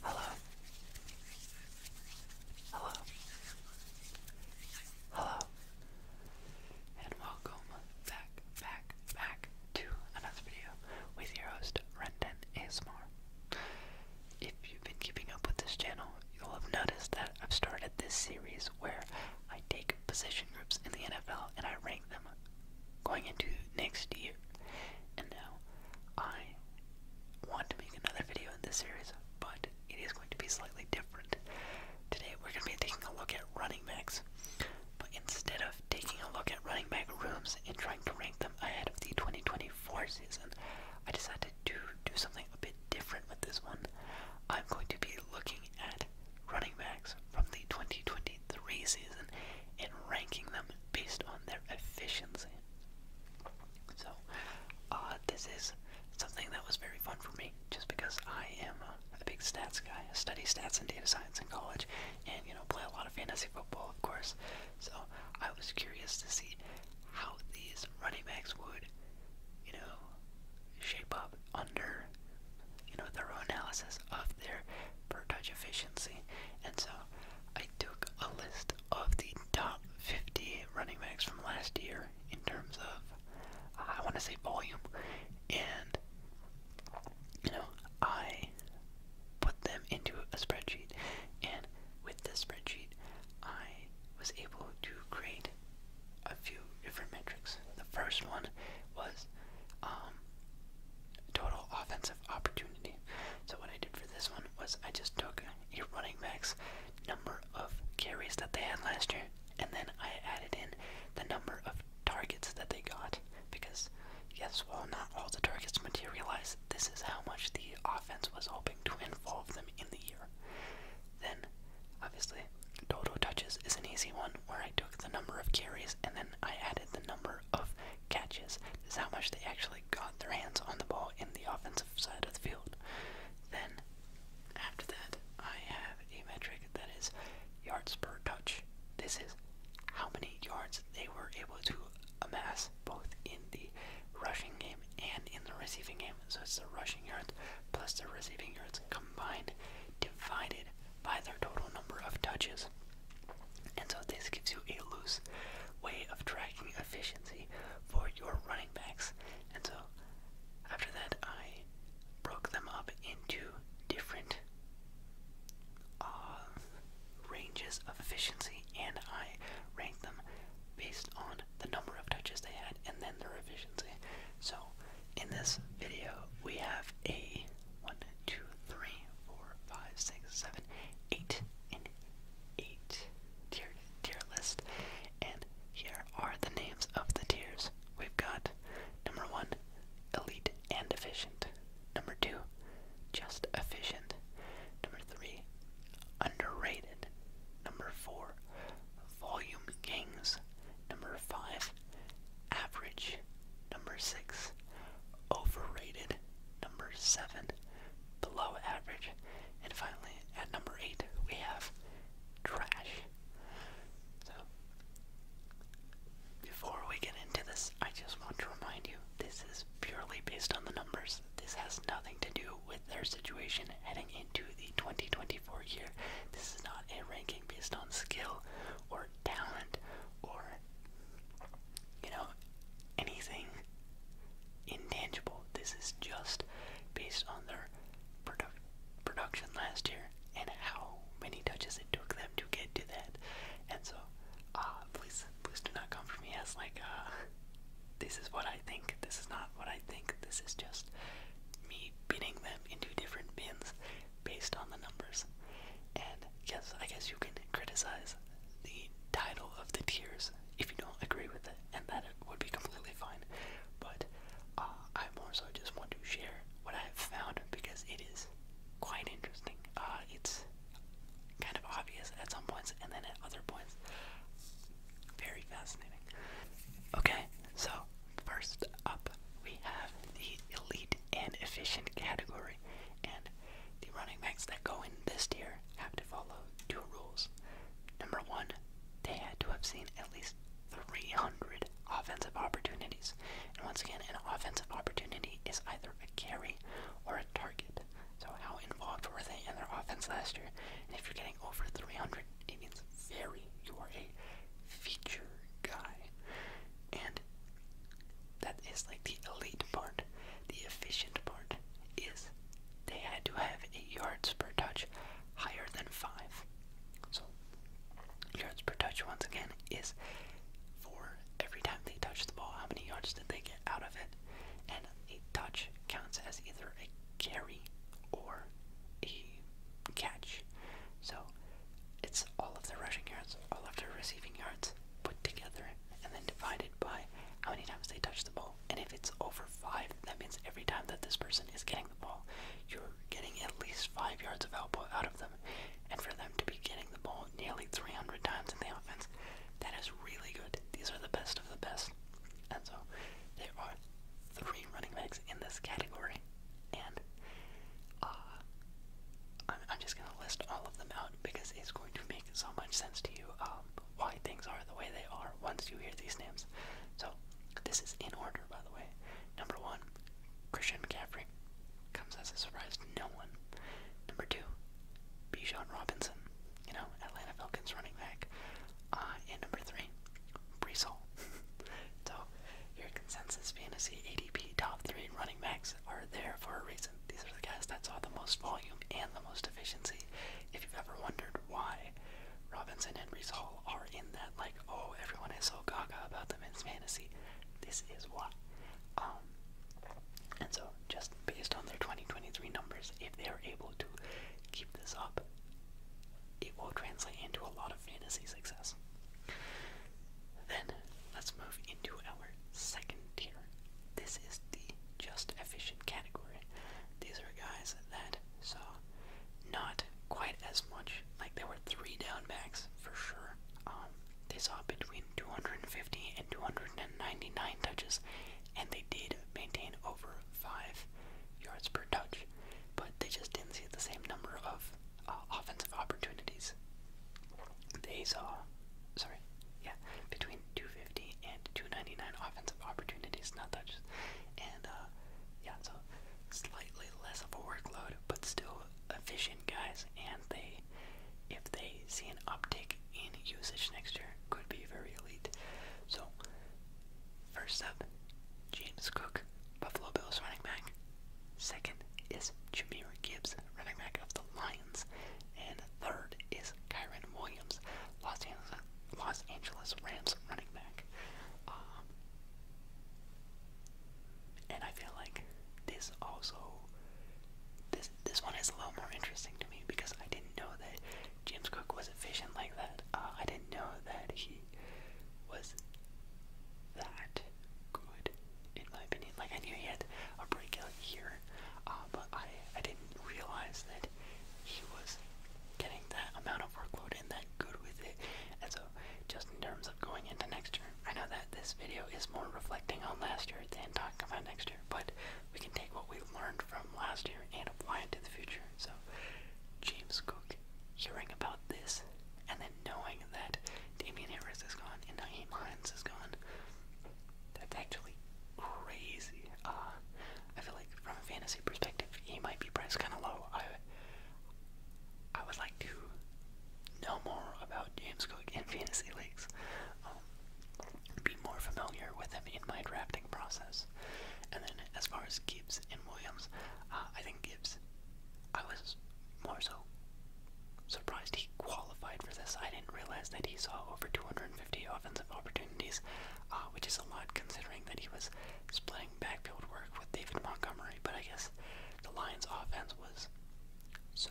Hello. Hello. Hello. And welcome back, back, back to another video with your host, Renton ASMR. If you've been keeping up with this channel, you'll have noticed that I've started this series where I take position groups in the NFL and I rank them going into next year. And now I want to make another video in this series, but it is going to be slightly different. Today we're going to be taking a look at running backs, but instead of taking a look at running back rooms and trying to rank them ahead of the 2024 season, I decided to do something a bit different with this one. I'm going to be looking at running backs from the 2023 season and ranking them based on their efficiency. So, uh, this is something that was very fun for me, just because I am a big stats guy. I study stats and data science in college, and you know, play a lot of fantasy football, of course. So, I was curious to see how these running backs would, you know, shape up under, you know, thorough analysis of their per touch efficiency. And so I took a list of the top 50 running backs from last year in terms of, I want to say volume, and, you know, I put them into a spreadsheet, and with this spreadsheet, I was able to create a few different metrics. The first one was um, total offensive opportunity. So what I did for this one was I just took a running back's number of carries that they had last year, and then I added in the number of targets that they got. Because yes, well not all the targets materialized, this is how much the offense was hoping to involve them in the year. Then, obviously, total touches is an easy one where I took the number of carries and then I added the number of catches. is how much they actually got their hands on the ball in the offensive side of the field. Then, after that, I have a metric that is yards per touch. This is how many yards they were able to amass both in the rushing game and in the receiving game. So it's the rushing yards plus the receiving yards combined divided by their total number of touches. And so this gives you a loose way of tracking efficiency for your running backs. And so after that, I broke them up into different uh, ranges of efficiency and I ranked them based on the number of touches they had and then their efficiency. So in this video, we have a 1, 2, 3, 4, 5, 6, 7, 8, and eight tier tier list, and here are the names of the tiers. We've got number one, elite and efficient. Number two, just efficient. Number three, underrated. Number four, volume kings. Number five, average. Number six, overrated. Number seven, below average. And finally, at number eight, we have trash. So, before we get into this, I just want to remind you this is purely based on the numbers. This has nothing to do with their situation heading into the 2024 year. This is not a ranking based on skill or talent or, you know, anything intangible. This is just based on their production last year and how many touches it took them to get to that. And so, uh, please, please do not come for me as like, uh, this is what I think. This is not what I think. This is just me putting them into different bins based on the numbers. And yes, I guess you can criticize the title of the tears. if you don't agree with it, and that it would be completely fine. But uh, I more so just want to share what I have found because it is quite interesting. Uh, it's kind of obvious at some points, and then at other points, very fascinating. Okay, so first up, we have the elite and efficient category, and the running backs that go in this tier have to follow two rules. Number one, they had to have seen at least 300 offensive opportunities. And once again, an offensive opportunity is either a carry or a target. So, how involved were they in their offense last year? And if you're getting over 300, it means very, you are a feature guy. And that is like the elite part. The efficient part is they had to have 8 yards per touch higher than 5. So, yards per touch, once again, is for every time they touch the ball, how many yards did they get out of it? And a touch counts as either a carry or a catch. So, it's all of their rushing yards, all of their receiving yards put together, and then divided by how many times they touch the ball. And if it's over five, that means every time that this person is getting the ball, you're getting at least five yards of output out of them. And for them to be getting the ball nearly 300 times in the offense, that is really good. These are the best of the best. And so there are three running backs in this category. And uh, I'm, just going to list all of them out because it's going to make so much sense to you. Um, why things are the way they are once you hear these names. So this is in order, by the way. Number one, Christian McCaffrey comes as a surprise to no one. Number two, Bijan Robinson, you know, Atlanta Falcons running back. Uh, and number three, Brees so your consensus fantasy ADP top three running backs are there for a reason. These are the guys that saw the most volume and the most efficiency. If you've ever wondered why Robinson and Brees Hall are in that, like, oh, everyone is so gaga about them in fantasy, this is why. Um, and so, just based on their 2023 numbers, if they are able to keep this up, it will translate into a lot of fantasy success. Then, let's move into our second tier this is the just efficient category. These are guys that saw not quite as much. Like there were three down backs for sure. Um, they saw between 250 and 299 touches, and they did maintain over five yards per touch. But they just didn't see the same number of uh, offensive opportunities. They saw, sorry, yeah, between 250 and 299 offensive opportunities, not touches. And uh, yeah, so slightly less of a workload, but still efficient guys. And they, if they see an uptick in usage next year, could be very elite. So, first up, James Cook, Buffalo Bills running back. Second is Jameer Gibbs, running back of the Lions. And third is Kyron Williams, Los Angeles, Los Angeles Rams running back. Um, and I feel like this also this this one is a little more interesting to me because I didn't know that James Cook was efficient like that. Uh, I didn't know that he was that good, in my opinion. Like I knew he had a breakout year, uh, but I, I didn't realize that he was getting that amount of workload and that good with it. And so, just in terms of going into next year, I know that this video is more reflecting on last year than talking about next year, but we can take what we learned from last year and apply it to the future. So, James Cook hearing about this and then knowing that Damian Harris is gone and Naeem Hines is gone, that's actually crazy. Uh, I feel like from a fantasy perspective, he might be priced kind of low. I, I would like to know more about James Cook in fantasy leagues. Um, be more familiar with him in my drafting process. And then as far as Gibbs and Williams, uh, I think Gibbs, I was more so surprised he qualified for this. I didn't realize that he saw over 250 offensive opportunities opportunities, uh, which is a lot considering that he was splitting backfield work with David Montgomery. But I guess the Lions' offense was so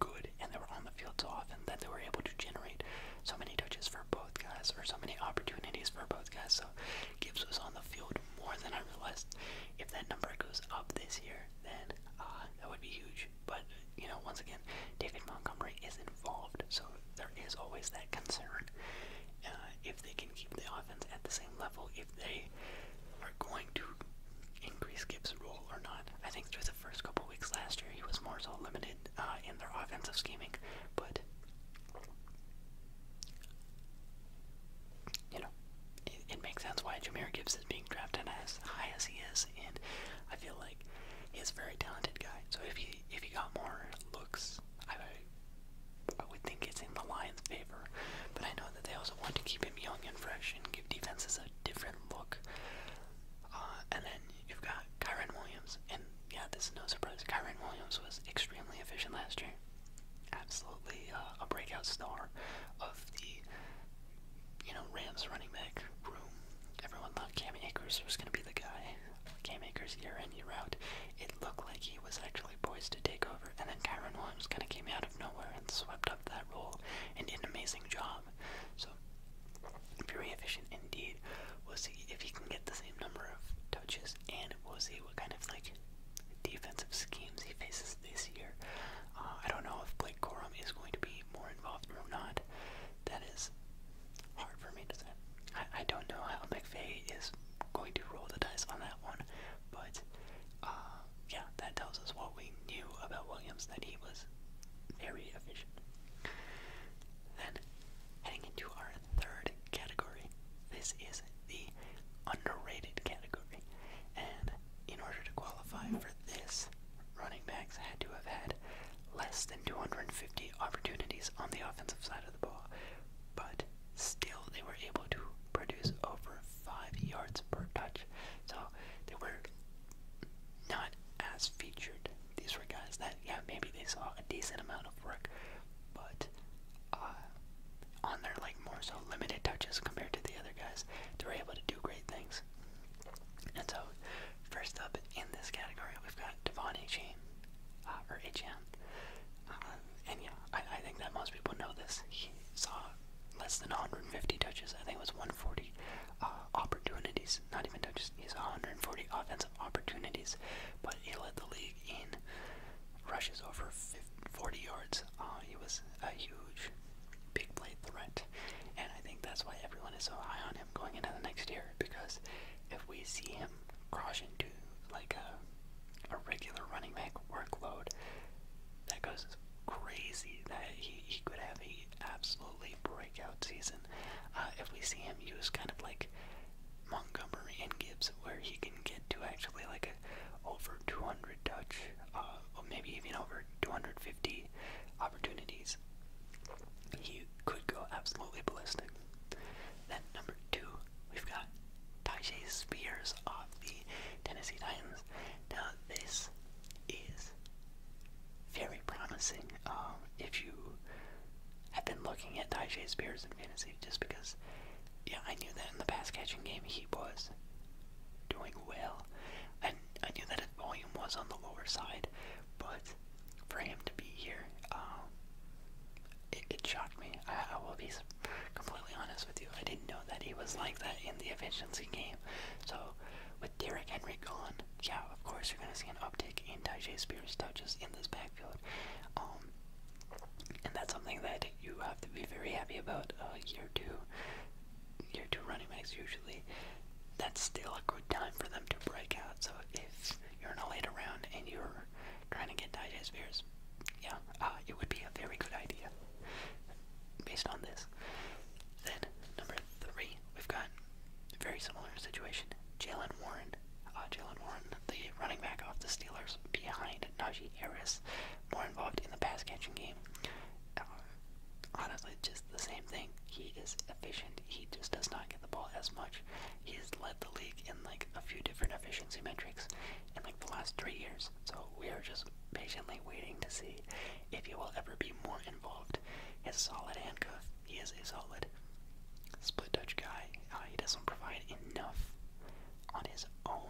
good, and they were on the field so often that they were able to generate so many touches for both guys, or so many opportunities for both guys. So Gibbs was on the field more than I realized. If that number goes up this year, then uh, that would be huge huge. But, you know, once again, David Montgomery is involved, so there is always that concern. Uh, if they can keep the offense at the same level, if they are going to increase Gibbs' role or not. I think through the first couple weeks last year, he was more so limited uh, in their offensive scheming, but. You know, it, it makes sense why Jameer Gibbs is being drafted as high as he is, and I feel he's a very talented guy. So if he if he got more looks, I would think it's in the Lions' favor. But I know that they also want to keep him young and fresh and give defenses a different look. Uh, and then you've got Kyron Williams, and yeah, this is no surprise. Kyron Williams was extremely efficient last year. Absolutely uh, a breakout star of the you know, Rams running back room. Everyone thought Cam Akers was going to be the guy. Cam Akers year in, year out. It looked like he was actually poised to take over, and then Kyron Williams kind of came out of nowhere and swept up that role and did an amazing job. So, very efficient indeed. We'll see if he can get the same number of touches, and we'll see what kind of like defensive schemes he faces this year. Uh, I don't know if Blake Corum is going to be more involved or not. That is hard for me to say. I, don't know how McVeigh is going to roll the dice on that one, but uh, yeah, that tells us what we knew about Williams, that he was very efficient. Then, heading into our third category, this is the underrated category. And in order to qualify for this, running backs had to have had less than 250 opportunities on the offensive side of the ball, but still they were able to produce over five yards per touch. So they were not as featured. These were guys that, yeah, maybe they saw a decent amount of work, but uh, on their like more so limited touches compared to the other guys, they were able to do great things. And so, first up in this category, we've got Devon H.M., or H.M., and yeah, I, think that most people know this. He saw less than 150 touches. I think it was 140 uh, opportunities, not even touches. He 140 offensive opportunities, but he led the league in rushes over 40 yards. he was a huge big play threat, and I think that's why everyone is so high on him going into the next year because if we see him cross into like a regular running back workload, that goes crazy. That he he could have a absolutely breakout season. Uh, if we see him use kind of like Montgomery and Gibbs, where he can get to actually like over 200 touch, uh, or maybe even over 250 opportunities could go absolutely ballistic. Then number two, we've got Tajay Spears off the Tennessee Titans. Now this is very promising. Um, if you have been looking at Tajay Spears in fantasy, just because, yeah, I knew that in the pass catching game he was doing well, and I knew that his volume was on the lower side, but for him to be here, um, it, shocked me. I, will be completely honest with you. I didn't know that he was like that in the efficiency game. So with Derrick Henry gone, yeah, of course you're going to see an uptick in Tajay Spears' touches in this backfield. Um, and that's something that you have to be very happy about. Uh, year two, year two running backs usually that's still a good time for them to break out. So if you're in a late round and you're trying to get digest beers, yeah, uh, it would be a very good idea based on this. Then number three, we've got a very similar situation. Jalen Warren, uh, Jalen Warren, the running back off the Steelers behind Najee Harris, more involved in the pass catching game. Uh, honestly, just the same thing. He is efficient. He just does not get the ball as much. He's led the league in like a few different efficiency metrics in like the last three years. So we are just patiently waiting to see if he will ever be more involved. He's a solid handcuff. He is a solid split touch guy. Uh, he doesn't provide enough on his own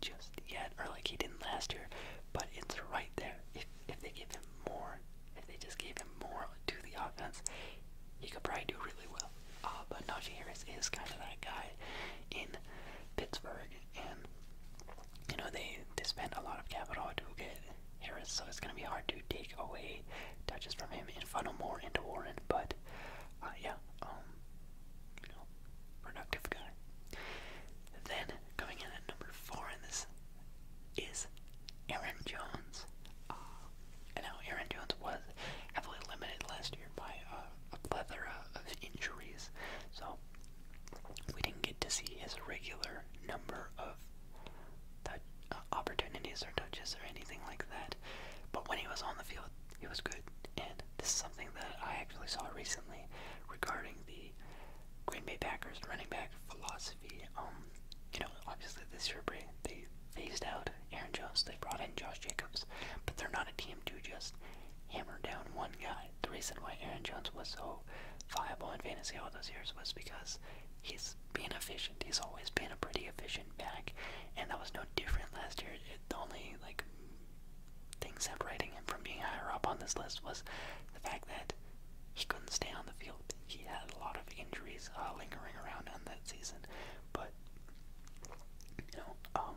just yet, or like he didn't last year. But it's right there. If if they give him more if they just gave him more to the offense, he could probably do really well. Uh, but Najee Harris is kind of that guy in Pittsburgh, and you know they they spent a lot of capital to get Harris, so it's going to be hard to take away touches from him and funnel more into Warren. But uh, yeah, um, productive guy. Then coming in at number four in this is Aaron Jones. Uh, I know Aaron Jones was heavily limited last year by uh, a plethora of injuries, so we didn't get to see his regular number of touch, uh, opportunities or touches or anything like that. But when he was on the field, he was good. And this is something that I actually saw recently regarding the Green Bay Packers running back philosophy. Um, you know, obviously this year they phased out Aaron Jones. They brought in Josh Jacobs, but they're not a team to just hammer down one guy. The reason why Aaron Jones was so viable in fantasy all those years was because he's being efficient. He's always been a pretty efficient back, and that was no different last year. It, the only like thing separating him from being higher up on this list was the fact that he couldn't stay on the field he had a lot of injuries uh, lingering around on that season, but you know, um,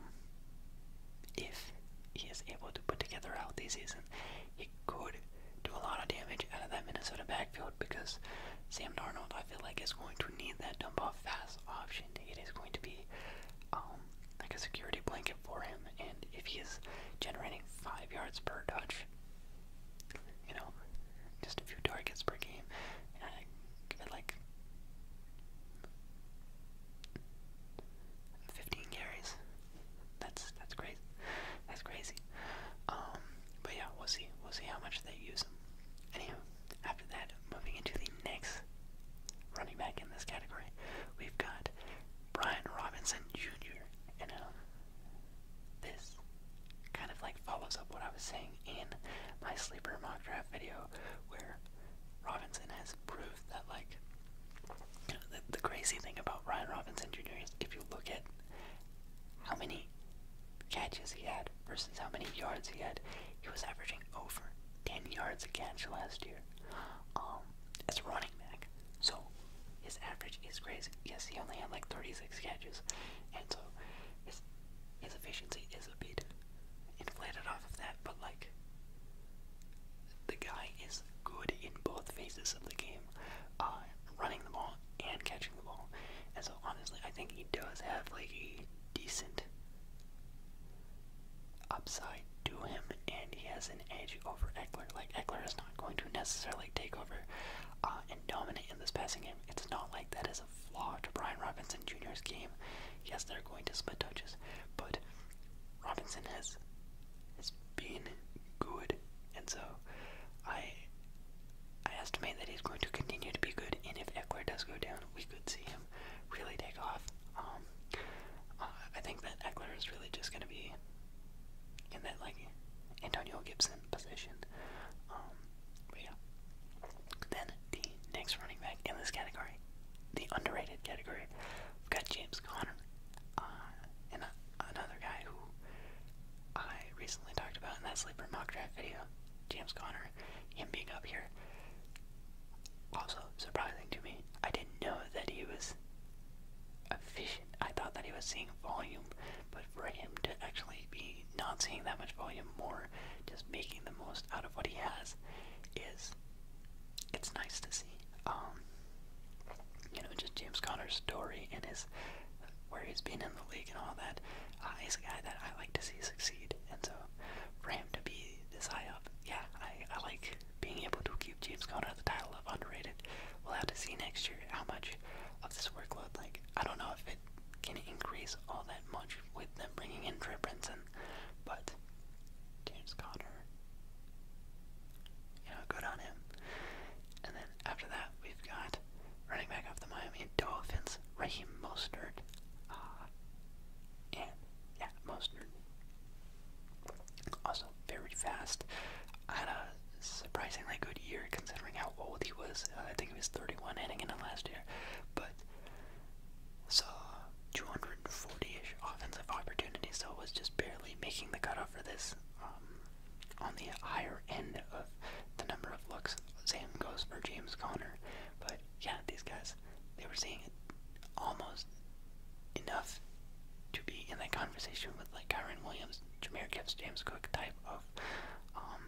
if he is able to put together a healthy season, he could do a lot of damage out of that Minnesota backfield because Sam Darnold, I feel like, is going to need that dump-off fast option. It is going to be um, like a security blanket for him, and if he is generating five yards per touch, you know, just a few targets per game. And I give it like 15 carries. That's that's crazy. That's crazy. Um, but yeah, we'll see. We'll see how much they use him. Anywho, after that, moving into the next running back in this category, we've got Brian Robinson Jr. And um, this kind of like follows up what I was saying in my sleeper mock draft video where Robinson has proved that like the, crazy thing about Ryan Robinson Jr. is if you look at how many catches he had versus how many yards he had, he was averaging over 10 yards a catch last year um, as a running back. So his average is crazy. Yes, he only had like 36 catches, and so his his efficiency is a bit inflated off of that. But like, the guy is good in both phases of the game, uh, running the ball and catching the ball. And so honestly, I think he does have like a decent upside to him, and he has an edge over Eckler. Like Eckler is not going to necessarily take over uh, and dominant in this passing game. It's not like that is a flaw to Brian Robinson Jr.'s game. Yes, they're going to split touches, but Robinson has has been good, and so I I estimate that he's going to continue to be good. And if Eckler does go down, we could see him really take off. Um, uh, I think that Eckler is really just going to be in that like Antonio Gibson decent position. Um, yeah. Then the next running back in this category, the underrated category, we've got James Conner, uh, and another guy who I recently talked about in that sleeper mock draft video. James Conner, him being up here, also surprising to me. I didn't know that he was a fish. I thought that he was seeing volume, but for him to actually be not seeing that much volume, more just making the most out of what he has, is it's nice to see. Um, you know, just James Conner's story and his where he's been in the league and all that. Uh, he's a guy that I like to see succeed, and so for him to be this high up, yeah, I, I like being able to keep James Conner at the title of underrated. We'll have to see next year how much of this workload. Like, I don't know if it can increase all that much with them bringing in Trey and, but James Conner, you know, good on him. And then after that, we've got running back off the Miami Dolphins, Raheem Mostert, ah, and yeah, Mostert. Also very fast. I had a surprisingly good year considering how old he was. Uh, I think he was 31 heading into last year, but saw 240-ish offensive opportunities, so was just barely making the cutoff for this. Um, on the higher end of the number of looks, same goes for James Conner. But yeah, these guys, they were seeing it almost enough to be in that conversation with like Kyron Williams, Jameer Gibbs, James Cook type of um,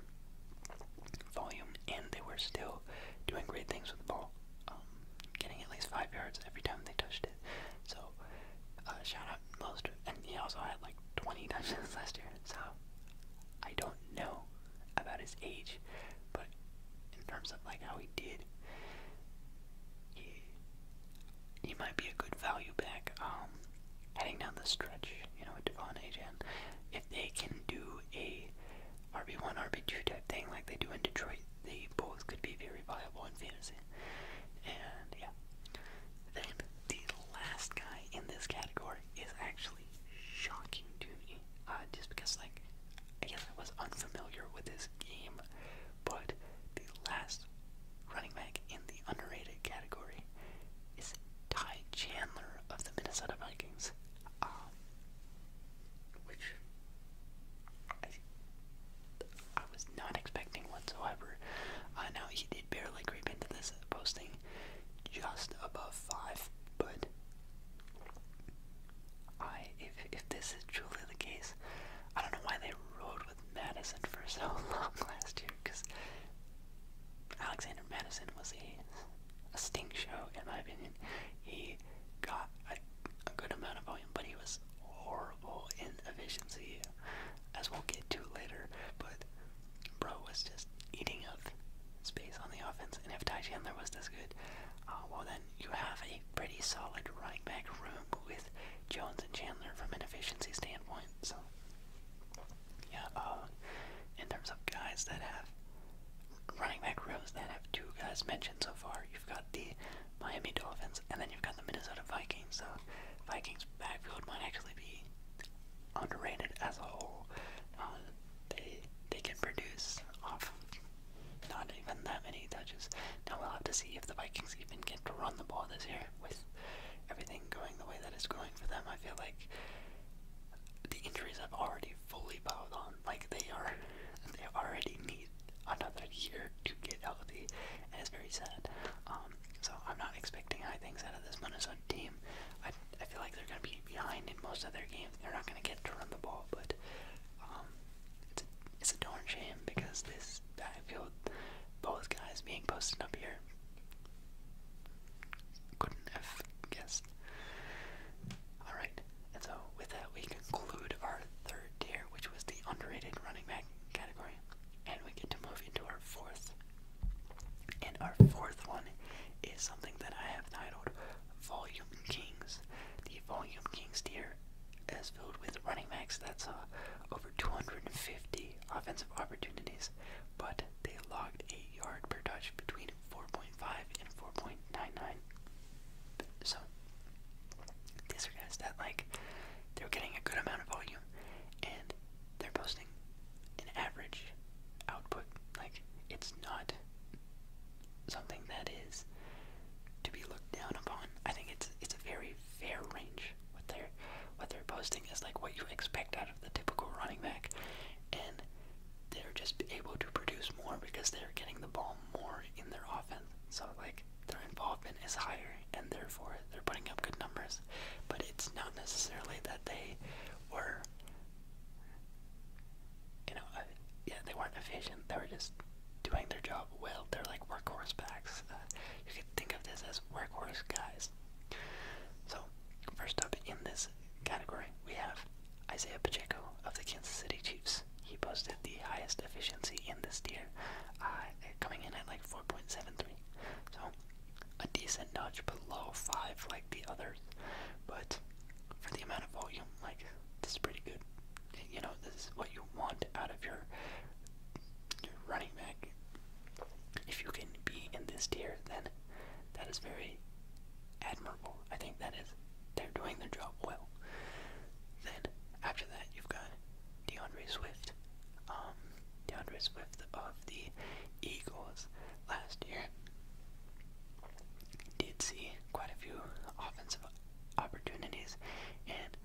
volume, and they were still doing great things with the ball, um, getting at least five yards every time they touched it. So, uh, shout out most, and he also had like 20 touchdowns last year. So, I don't know about his age, but in terms of like how he did, he, he might be a good value back um, heading down the stretch, you know, with Devon Ajan. If they can do a RB1, RB2 type thing like they do in Detroit, they both could be very viable in fantasy. And yeah. Then the last guy in this category is actually shocking to me. Uh, just because, like, I guess I was unfamiliar with this game, but the last running back in the underrated category is Ty Chandler of the Minnesota Vikings, um, which I, was not expecting whatsoever. Uh, now he did barely creep into this posting, just above five, but I if if this is truly the case, I don't know why they rode Madison for so long last year because Alexander Madison was a, a stink show, in my opinion. He got a, good amount of volume, but he was horrible in efficiency, as we'll get to later. But Bro was just eating up space on the offense, and if and Chandler was this good, uh, well then you have a pretty solid running back room with Jones and Chandler from an efficiency standpoint. So yeah, uh, in terms of guys that have running back rows that have two guys mentioned so far, you've got the Miami Dolphins and then you've got the Minnesota Vikings. So Vikings backfield might actually be underrated as a whole. Uh, they they can produce off not even that many touches. Now we'll have to see if the Vikings even get to run the ball this year with everything going the way that it's going for them, I feel like the injuries have already fully piled on. Like they are, they already need another year to get healthy, and it's very sad. Um, so I'm not expecting high things out of this Minnesota team. I, I feel like they're going to be behind in most of their games. They're not going to get to run the ball, but um, it's a, it's a darn shame because this I feel both guys being posted up here couldn't have guessed. Alright, and so with that, we conclude our third tier, which was the underrated running back category. And we get to move into our fourth. And our fourth one is something that I have titled Volume Kings. The Volume Kings tier is filled with running backs that saw over 250 offensive opportunities but they logged eight yard per touch between 4.5 and 4.99. So these guys that like they're getting a good amount of volume and they're posting an average output. Like it's not something that is to be looked down upon. I think it's it's a very fair range what they're what they're posting is like what you expect out of the typical running back, and they're just able to produce more because they're getting the ball more in their offense. So like their involvement is higher, and therefore they're putting up good numbers. But it's not necessarily that they were, you know, uh, yeah, they weren't efficient. They were just doing their job well. They're like workhorse backs. Uh, you can think of this as workhorse guys. So, first up in this category, we have Isaiah Pacheco of the Kansas City Chiefs. He posted the highest efficiency in this year, uh, coming in at like 4.73. So, a decent nudge below 5 like the others, but for the amount of volume, like, this is pretty good. You know, this is what you want out of your, your running back if you can be in this tier, then that is very admirable. I think that is they're doing their job well. Then after that, you've got DeAndre Swift, um, DeAndre Swift of the Eagles last year. Did see quite a few offensive opportunities, and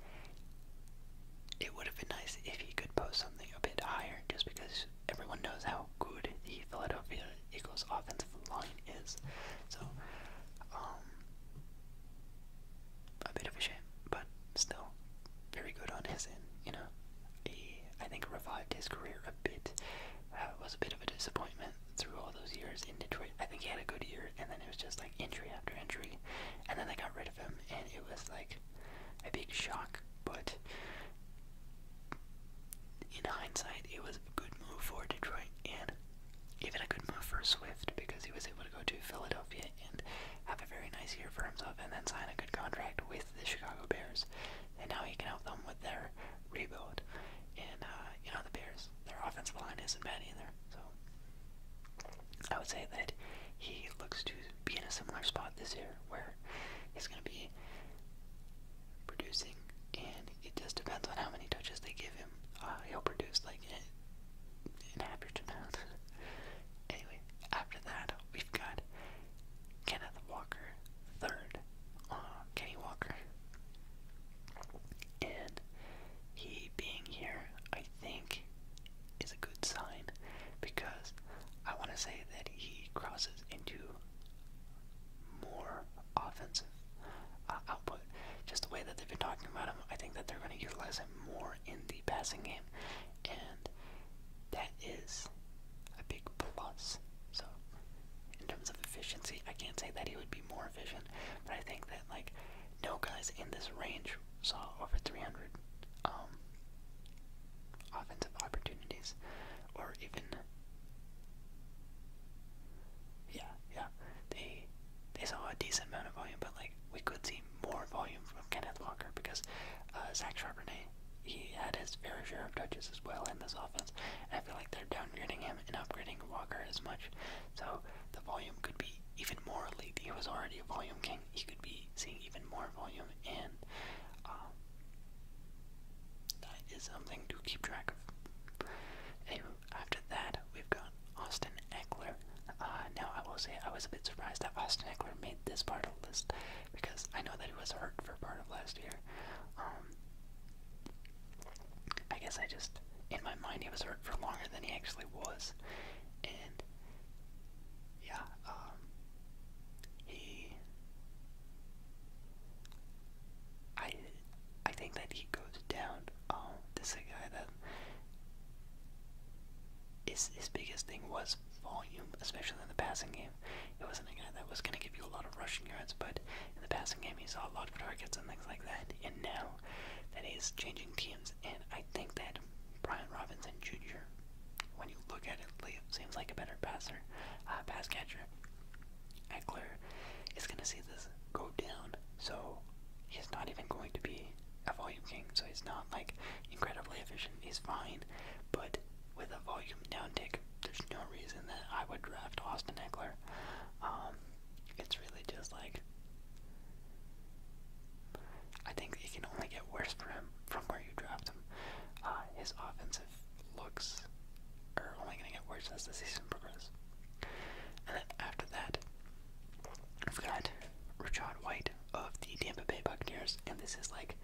it would have been nice if he could post something a bit higher, just because everyone knows how good the Philadelphia Eagles offensive line is. So um, a bit of a shame, but still very good on his end, you know. He I think revived his career a bit. Uh, it was a bit of a disappointment through all those years in Detroit. I think he had a good year and then it was just like injury after injury and then they got rid of him and it was like a big shock, but in hindsight, it was a good move for Detroit and even a good move for Swift because he was able to go to Philadelphia and have a very nice year for himself and then sign a good contract with the Chicago Bears. And now he can help them with their rebuild. And, uh, you know, the Bears, their offensive line isn't bad either. So I would say that he looks to be in a similar spot this year where he's going to be producing, and it just depends on how many touches they give him. Uh, he'll produce like an, an average amount. anyway, after that, we've got Kenneth Walker third. Uh, Kenny Walker. And he being here, I think, is a good sign because I want to say that he crosses into more offensive uh, output. Just the way that they've been talking about him, I think that they're going to utilize him more in the passing game, and that is a big plus. So, in terms of efficiency, I can't say that he would be more efficient, but I think that like no guys in this range saw over 300 um, offensive opportunities, or even yeah, yeah, they they saw a decent amount of volume, but like we could see more volume from Kenneth Walker because uh, Zach Charbonnet he had his fair share of touches as well in this offense, and I feel like they're downgrading him and upgrading Walker as much, so the volume could be even more elite. He was already a volume king he could be seeing even more volume, and um, that is something to keep track of. Anyway, after that, we've got Austin Eckler. Uh, now, I will say I was a bit surprised that Austin Eckler made this part of the list because I know that he was hurt for part of last year. Um, I guess I just, in my mind, he was hurt for longer than he actually was, and yeah, um, he, I, I think that he goes down. this is a guy that his his biggest thing was volume, especially in the passing game. It wasn't a guy that was gonna give you a lot of rushing yards, but in the passing game, he saw a lot of targets and things like that. And now that he's changing teams, and I think that Brian Robinson Jr., when you look at it, seems like a better passer, uh, pass catcher. Eckler is going to see this go down, so he's not even going to be a volume king, so he's not like incredibly efficient. He's fine, but with a volume downtick, there's no reason that I would draft Austin Eckler. Um, it's really just like I think it can only get worse for him from where draft him. Uh, his offensive looks are only going to get worse as the season progresses. And then after that, we've got Richard White of the Tampa Bay Buccaneers, and this is like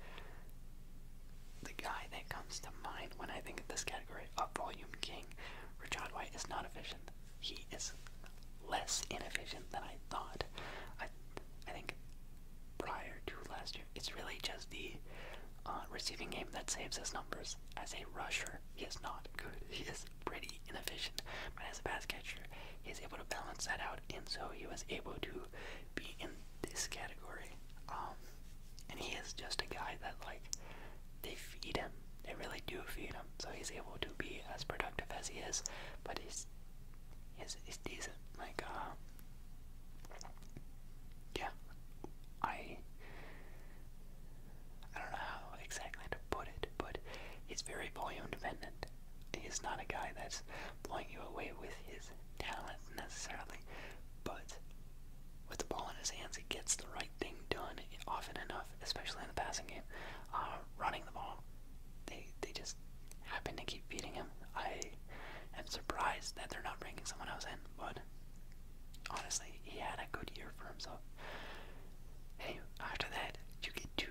the guy that comes to mind when I think of this category of volume king. Richard White is not efficient. He is less inefficient than I thought. I, I think prior to last year. It's really just the uh, receiving game that saves his numbers. As a rusher, he is not good. He is pretty inefficient. But as a pass catcher, he is able to balance that out, and so he was able to be in this category. Um, and he is just a guy that, like, they feed him. They really do feed him. So he's able to be as productive as he is, but he's is is decent. Like uh, yeah, I I don't know how exactly to put it, but he's very volume dependent. He's not a guy that's blowing you away with his talent necessarily, but with the ball in his hands, he gets the right thing done often enough, especially in the passing game. Uh, running the ball, they they just happen to keep feeding him. I am surprised that they're not bringing someone else in, but honestly, he had a good year for himself. Hey, after that, you get to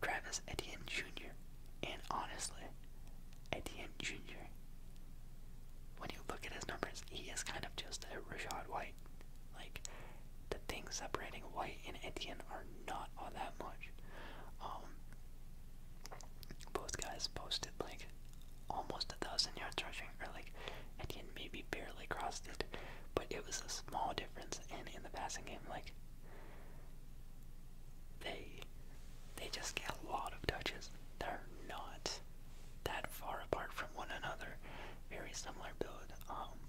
Travis Etienne Jr. And honestly, Etienne Jr., when you look at his numbers, he is kind of just a Rashad White. Like, the things separating White and Etienne are not all that much. Um, both guys posted like almost a thousand yards rushing, or like Etienne maybe barely crossed it, but it was a small difference. And in the passing game, like they they just get a lot of touches. They're not that far apart from one another. Very similar build, um,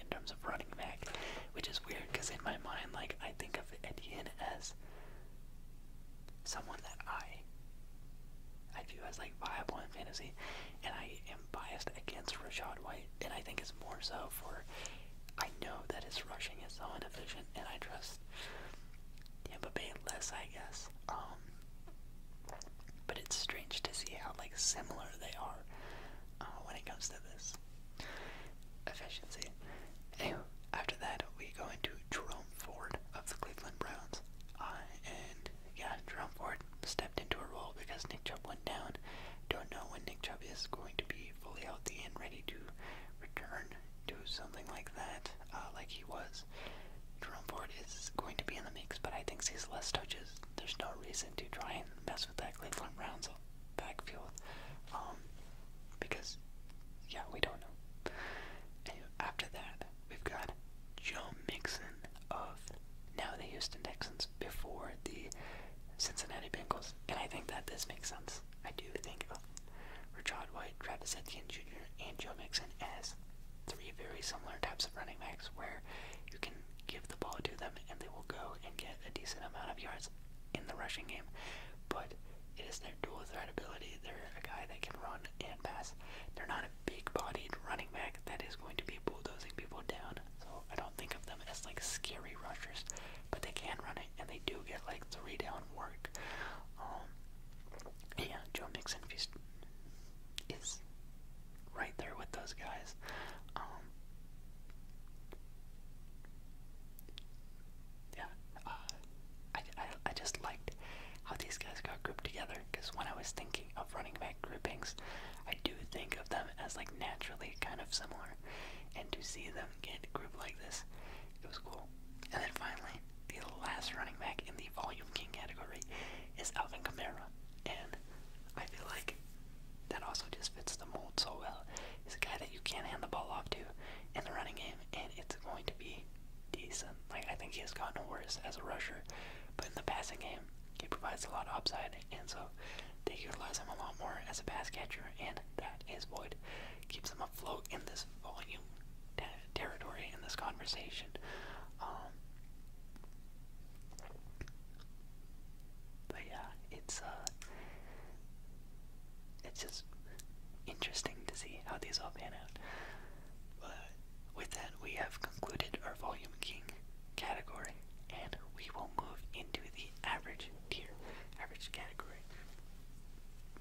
in terms of running back, which is weird because in my mind, like I think of Etienne as someone that I I view as like viable in fantasy, and I am biased against Rashad White, and I think it's more so for I know that his rushing is so inefficient, and I trust Tampa Bay less, I guess. Um, but it's strange to see how like similar they are uh, when it comes to this efficiency. after that, we go into Jerome Ford of the Cleveland Browns. and yeah, Jerome Ford stepped into a role because Nick Chubb went down. Don't know when Nick Chubb is going to be fully healthy and ready to return to something like that, uh, like he was. Jerome Ford is going to be in the mix, but I think sees less touches. There's no reason to try and mess with that Cleveland Browns backfield. Um, because, yeah, we don't know. after that, we've got Joe Mixon of now the Houston Texans before the Cincinnati Bengals. And I think that this makes sense. I do think of Rashad White, Travis Etienne Jr., and Joe Mixon as three very similar types of running backs where you can give the ball to them and they will go and get a decent amount of yards in the rushing game but it is their dual threat ability. They're a guy that can run and pass. They're not a big bodied running back that is going to be bulldozing people down. So I don't think of them as like scary rushers, but they can run it and they do get like three down work. Um, yeah, Joe Mixon is right there with those guys. Um, yeah, uh, I, I, I just liked how these guys got grouped together because when I was thinking of running back groupings, I do think of them as like naturally kind of similar, and to see them get grouped like this, it was cool. And then finally, the last running back in the Volume King category is Alvin Kamara, and I feel like that also just fits the mold so well. He's a guy that you can not hand the ball off to in the running game, and it's going to be decent. Like, I think he has gotten worse as a rusher, but in the passing game, he provides a lot of upside, and so they utilize him a lot more as a pass catcher, and that is void Keeps him afloat in this volume territory, in this conversation. Um, but yeah, it's uh, it's just interesting to see how these all pan out. But with that, we have concluded our Volume King category, and we will move into the average tier, average category.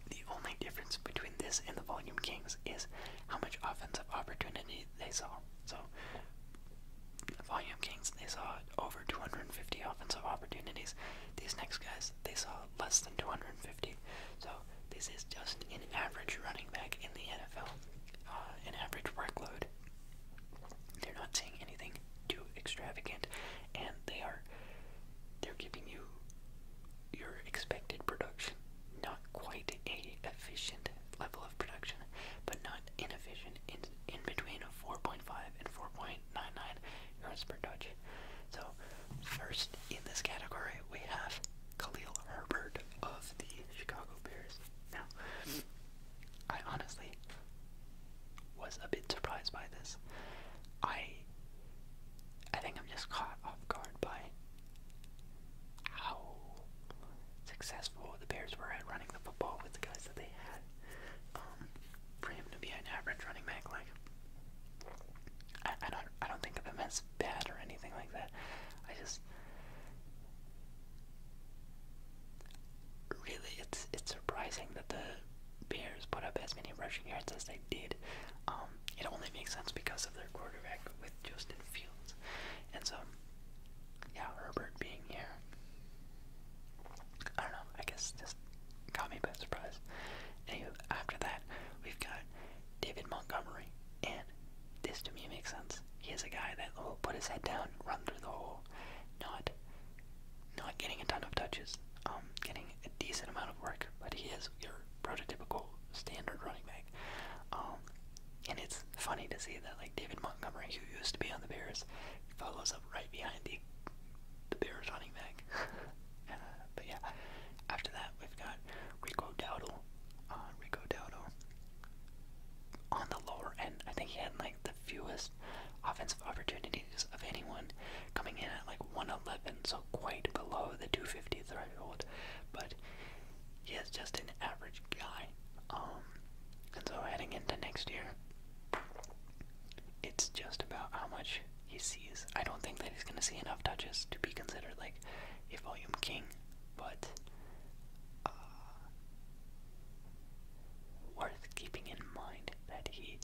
The only difference between this and the Volume Kings is how much offensive opportunity they saw. So, the Volume Kings, they saw over 250 offensive opportunities. These next guys they saw less than 250. So this is just an average running back in the NFL, uh, an average workload. They're not saying anything too extravagant, and they are they're giving you your expected production. Not quite a efficient level of production, but not inefficient. In in between 4.5 and 4.99, yards per touch. So, first in this category, we have Khalil Herbert of the Chicago Bears. Now, I honestly was a bit surprised by this. I I think I'm just caught off guard by how successful the Bears were at running the football with the guys that they had. Um, for him to be an average running back. Like, I, don't, I don't think of him as bad or anything like that. I just really, it's it's surprising that the Bears put up as many rushing yards as they did. Um, it only makes sense because of their quarterback with Justin Fields, and so yeah, Herbert being here. I don't know. I guess just Caught me by surprise. Anywho, after that, we've got David Montgomery, and this to me makes sense. He is a guy that will put his head down, run through the hole, not not getting a ton of touches, um, getting a decent amount of work, but he is your prototypical standard running back. Um, and it's funny to see that like David Montgomery, who used to be on the Bears, follows up right behind the the Bears running back uh, but yeah, after that we've got Rico Dowdle. Uh, Rico Dowdle on the lower end. I think he had like the fewest offensive opportunities of anyone, coming in at like 111, so quite below the 250 threshold. But he is just an average guy. Um, and so heading into next year, it's just about how much he sees. I don't think that he's going to see enough touches to be considered like a volume king, but uh, worth keeping in mind that he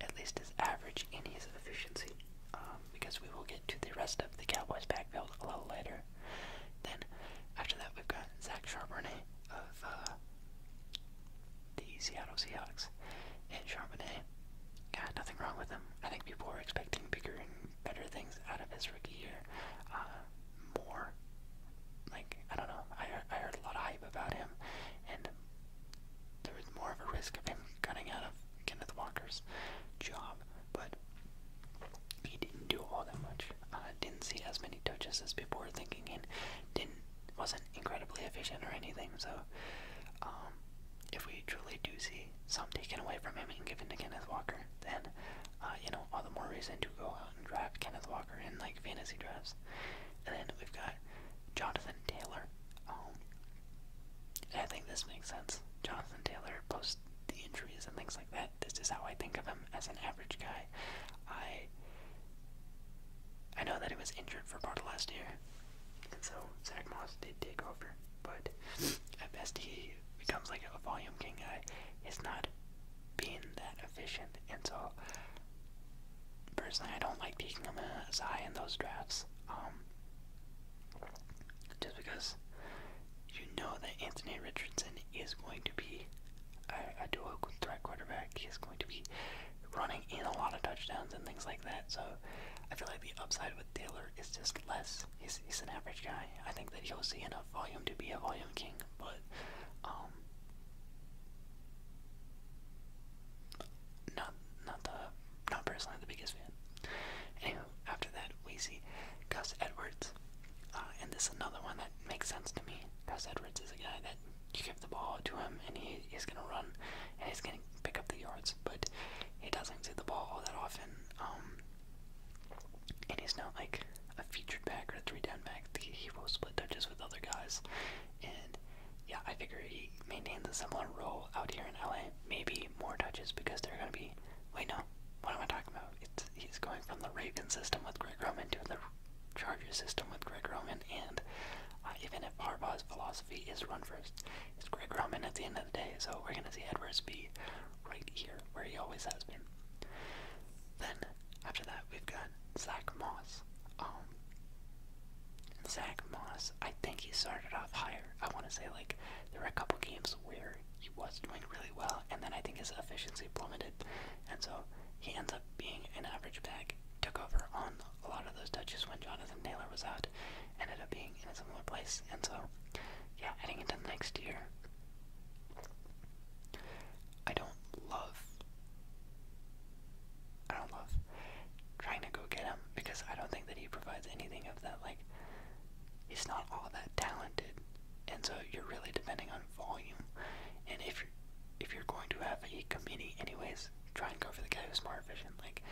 at least is average in his efficiency, um, because we will get to the rest of the Cowboys backfield a little later. Then after that, we've got Zach Charbonnet of uh, the Seattle Seahawks and Charbonnet. Got nothing wrong with him. I think people were expecting bigger and better things out of his rookie year. Uh, more, like, I don't know. I, I heard a lot of hype about him, and there was more of a risk of him cutting out of Kenneth Walker's job, but he didn't do all that much. Uh, didn't see as many touches as people were thinking, and didn't wasn't incredibly efficient or anything. So, um, if we truly do see some taken away from him and given to Kenneth Walker, then uh, you know all the more reason to go out and draft Kenneth Walker in like fantasy drafts. And then we've got Jonathan Taylor. Um, I think this makes sense. Jonathan Taylor post the injuries and things like that. This is how I think of him as an average guy. I I know that he was injured for part of last year, and so Zach Moss did take over, but at best he becomes like a volume king guy. He's not being that efficient, and so personally, I don't like taking him as high in those drafts. Um, just because you know that Anthony Richardson is going to be a, a dual threat quarterback, he's going to be running in a lot of touchdowns and things like that. So I feel like the upside with Taylor is just less. He's, he's an average guy. I think that he'll see enough volume to be a volume king, but um, not not the not personally the biggest fan. Anywho, after that we see Gus Edwards, uh, and this is another one that makes sense to me. Gus Edwards is a guy that you give the ball to him and he is gonna run he's going to pick up the yards, but he doesn't see the ball all that often. Um, and he's not like a featured back or a three-down back. He will split touches with other guys, and yeah, I figure he maintains a similar role out here in LA. Maybe more touches because they're going to be. Wait, no. What am I talking about? It's he's going from the Ravens system with Greg Roman to the Chargers system with Greg Roman, and uh, even if Harbaugh's philosophy V is run first. It's Greg Roman at the end of the day, so we're gonna see Edwards V right here where he always has been. Then after that we've got Zach Moss. Um, Zach Moss, I think he started off higher. I wanna say like there were a couple games where he was doing really well and then I think his efficiency plummeted and so he ends up being an average back, took over on a lot of those touches when Jonathan Taylor was out ended up being in a similar place. And so, yeah, heading into next year, I don't love. I don't love trying to go get him because I don't think that he provides anything of that. Like, he's not all that talented, and so you're really depending on volume. And if you're, if you're going to have a committee anyways, try and go for the guy who's more efficient. Like,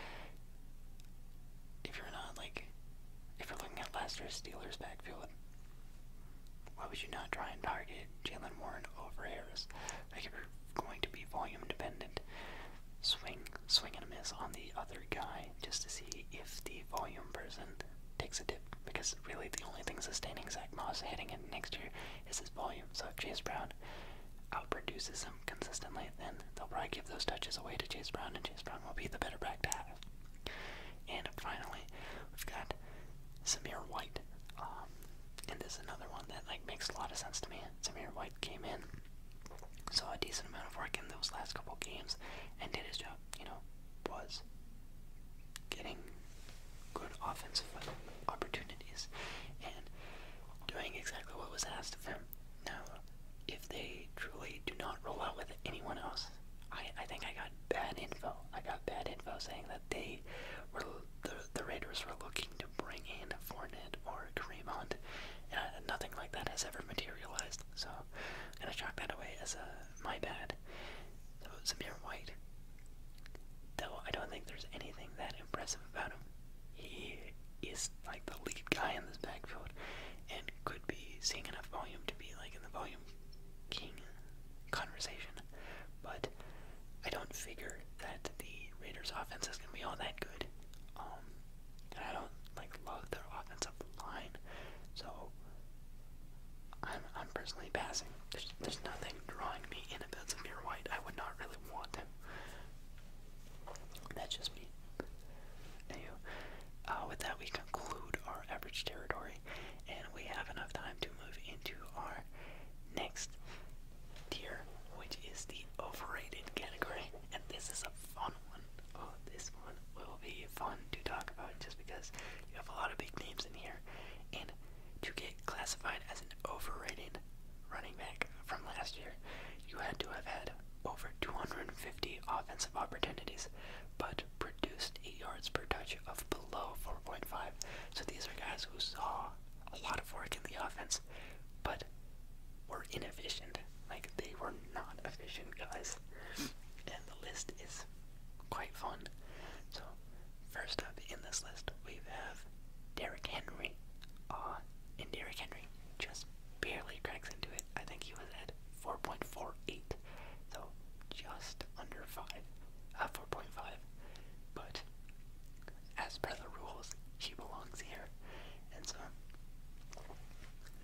if you're not like, if you're looking at last Steelers backfield, why would you not try and target Jalen Warren over Harris? Like if you're going to be volume dependent, swing, swing and miss on the other guy just to see if the volume person takes a dip. Because really, the only thing sustaining Zach Moss hitting it next year is his volume. So if Chase Brown outproduces him consistently, then they'll probably give those touches away to Chase Brown, and Chase Brown will be the better back to have. And finally, we've got Samir White. Um, and this is another one that like makes a lot of sense to me. Samir White came in, saw a decent amount of work in those last couple games, and did his job. You know, was getting good offensive opportunities and doing exactly what was asked of him. Now, if they truly do not roll out with anyone else, I, I think I got bad info. I got bad info saying that they were the, the Raiders were looking to bring in Fournette or Kareem Hunt, and I, uh, nothing like that has ever materialized. So I'm gonna chalk that away as a my bad. So Samir White, though I don't think there's anything that impressive about him he is like the lead guy in this backfield and could be seeing enough volume to be like in the volume king conversation. But I don't figure that the Raiders offense is gonna be all that good. Um and I don't like love their offensive line. So I'm I'm personally passing. There's there's nothing drawing me in if that's a white. I would not really want him. That's just me. Uh, with that, we conclude our average territory, and we have enough time to move into our next tier, which is the overrated category. And this is a fun one. Oh, this one will be fun to talk about just because you have a lot of big names in here. And to get classified as an overrated running back from last year, you had to have had over 250 offensive opportunities, but produced 8 yards per touch of below 4.5. So these are guys who saw a lot of work in the offense, but were inefficient. Like, they were not efficient guys. And the list is quite fun. So, first up in this list, we have Derrick Henry. Uh, and Derrick Henry just barely cracks into it. I think he was at 4.48, so just under 5, at uh, 4.5. But as per the rules, she belongs here. And so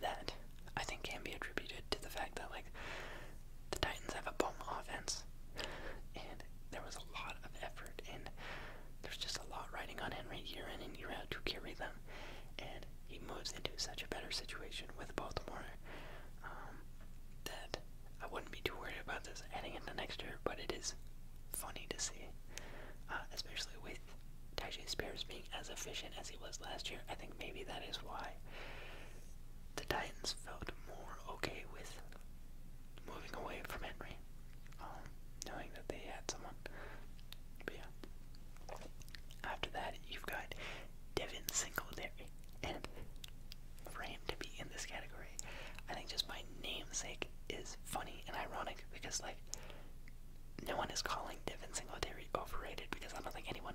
that, I think, can be attributed to the fact that, like, the Titans have a bomb offense, and there was a lot of effort in there's just a lot riding on Henry year in and year out to carry them, and he moves into such a better situation with Baltimore um, that I wouldn't be too worried about this heading into next year. But it is funny to see, uh, especially with Tajay Spears being as efficient as he was last year. I think maybe that is why the Titans felt more okay with moving away from Henry. Oh, knowing that they had someone. But yeah. After that, you've got Devin Singletary. And for him to be in this category, I think just my namesake is funny and ironic because, like, no one is calling Devin Singletary overrated because I don't think anyone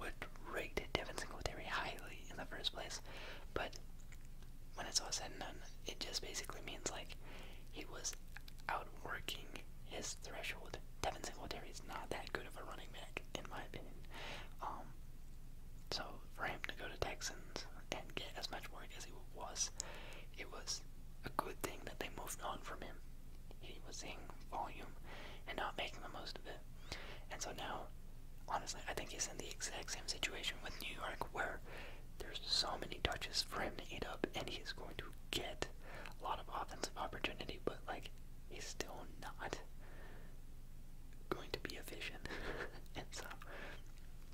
would rate Devin Singletary highly in the first place. But when it's all said and done, it just basically means like he was out working his threshold. Devin Singletary is not that good of a running back, in my opinion. Um, so for him to go to Texans and get as much work as he was, it was a good thing that they moved on from him. He was seeing volume and not making the most of it. And so now, honestly, I think he's in the exact same situation with New York where there's so many touches for him to eat up, and he's going to get a lot of offensive opportunity, but like he's still not going to be efficient. and so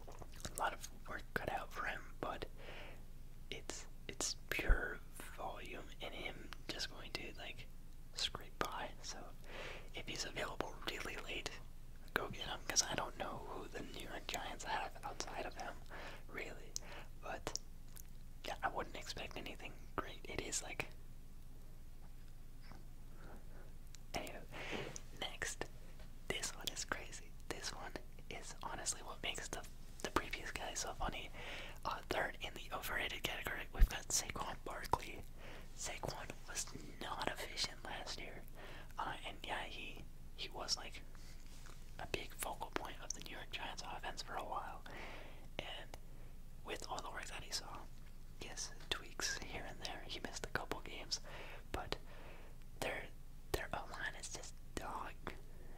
a lot of work cut out for him, but it's it's pure volume in him just going to like scrape by. So if he's available really late, go get him because I don't know who the New York Giants have outside of him, really. But yeah, I wouldn't expect anything great. It is like. Anyway, next, this one is crazy. This one is honestly what makes the the previous guy so funny. Uh, third in the overrated category, we've got Saquon Barkley. Saquon was not efficient last year. Uh, and yeah, he he was like a big focal point of the New York Giants offense for a while. And with all the work that he saw, yes, tweaks here and there. He missed a couple games, but their their O line is just dog.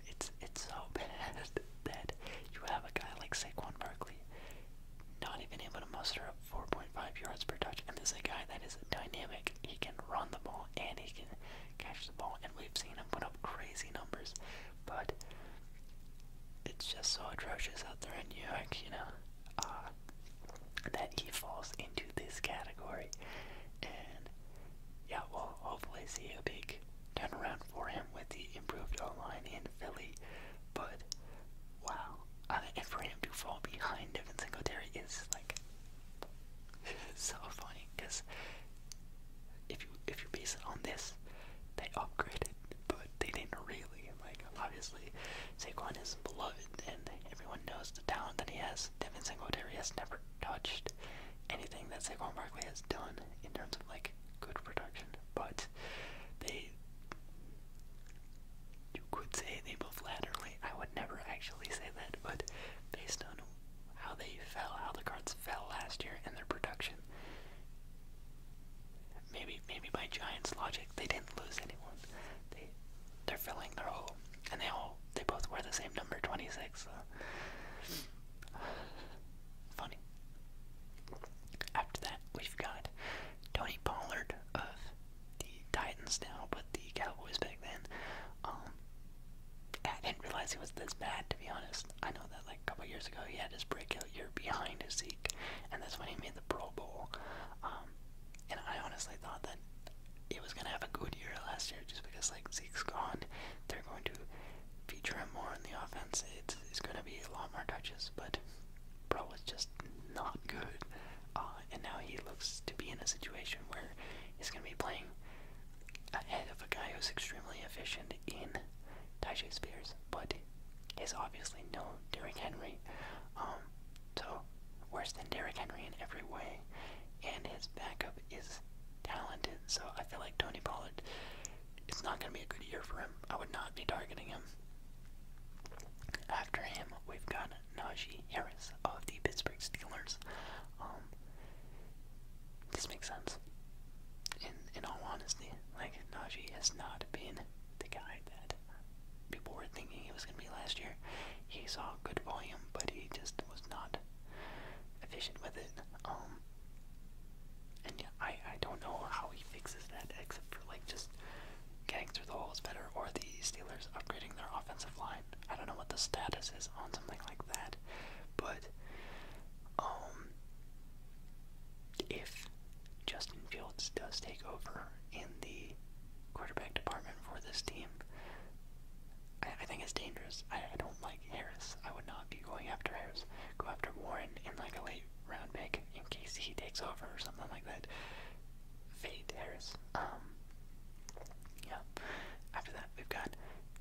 It's it's so bad that you have a guy like Saquon Barkley not even able to muster up 4.5 yards per touch, and this is a guy that is dynamic. He can run the ball and he can catch the ball, and we've seen him put up crazy numbers, but it's just so atrocious out there in New York, you know, uh, that he falls into this category. And yeah, we'll hopefully see a big turnaround for him with the improved O line in Philly, but wow. Uh, and for him to fall behind Devin Singletary is so funny because if you if you base it on this, they upgraded, but they didn't really. Like, obviously, Saquon is beloved, and everyone knows the talent that he has. Devin Singletary has never touched anything that Saquon Barkley has done in terms of like good production, but they. You could say they both laterally. I would never actually say that, but based on how they fell, how the cards fell last year and their production. Maybe maybe by Giants logic, they didn't lose anyone. They they're filling their hole. And they all they both wear the same number, twenty six, funny. After that we've got Tony Pollard of the Titans now, but the Cowboys back then. Um, I didn't realize he was this bad, to be honest. I know that like a couple years ago he had his breakout year behind his Zeke, and that's when he made the Pro Bowl. Um, and I honestly thought that he was gonna have a good year last year, just because like Zeke's gone, they're going to feature him more in the offense. It's, it's gonna be a lot more touches, but Bro was just not good. Uh, and now he looks to be in a situation where he's gonna be playing ahead of a guy who's extremely efficient in Tajay Spears, but is obviously no Derrick Henry. Um, so worse than Derrick Henry in every way, and his backup is talented. So I feel like Tony Pollard, it's not going to be a good year for him. I would not be targeting him. After him, we've got Najee Harris of the Pittsburgh Steelers. Um, this makes sense. In in all honesty, like Najee has not been the guy that people were thinking he was gonna be last year. He saw good volume, but he just was not efficient with it. Um, and yeah, I I don't know how he fixes that except for like just getting through the holes better or the Steelers upgrading their offensive line. I don't know what the status is on something like that, but um, if Justin Fields does take over in the quarterback department for this team, I, think it's dangerous. I, don't like Harris. I would not be going after Harris. Go after Warren in like a late round pick in case he takes over or something like that. Fade Harris. Um, yeah. After that, we've got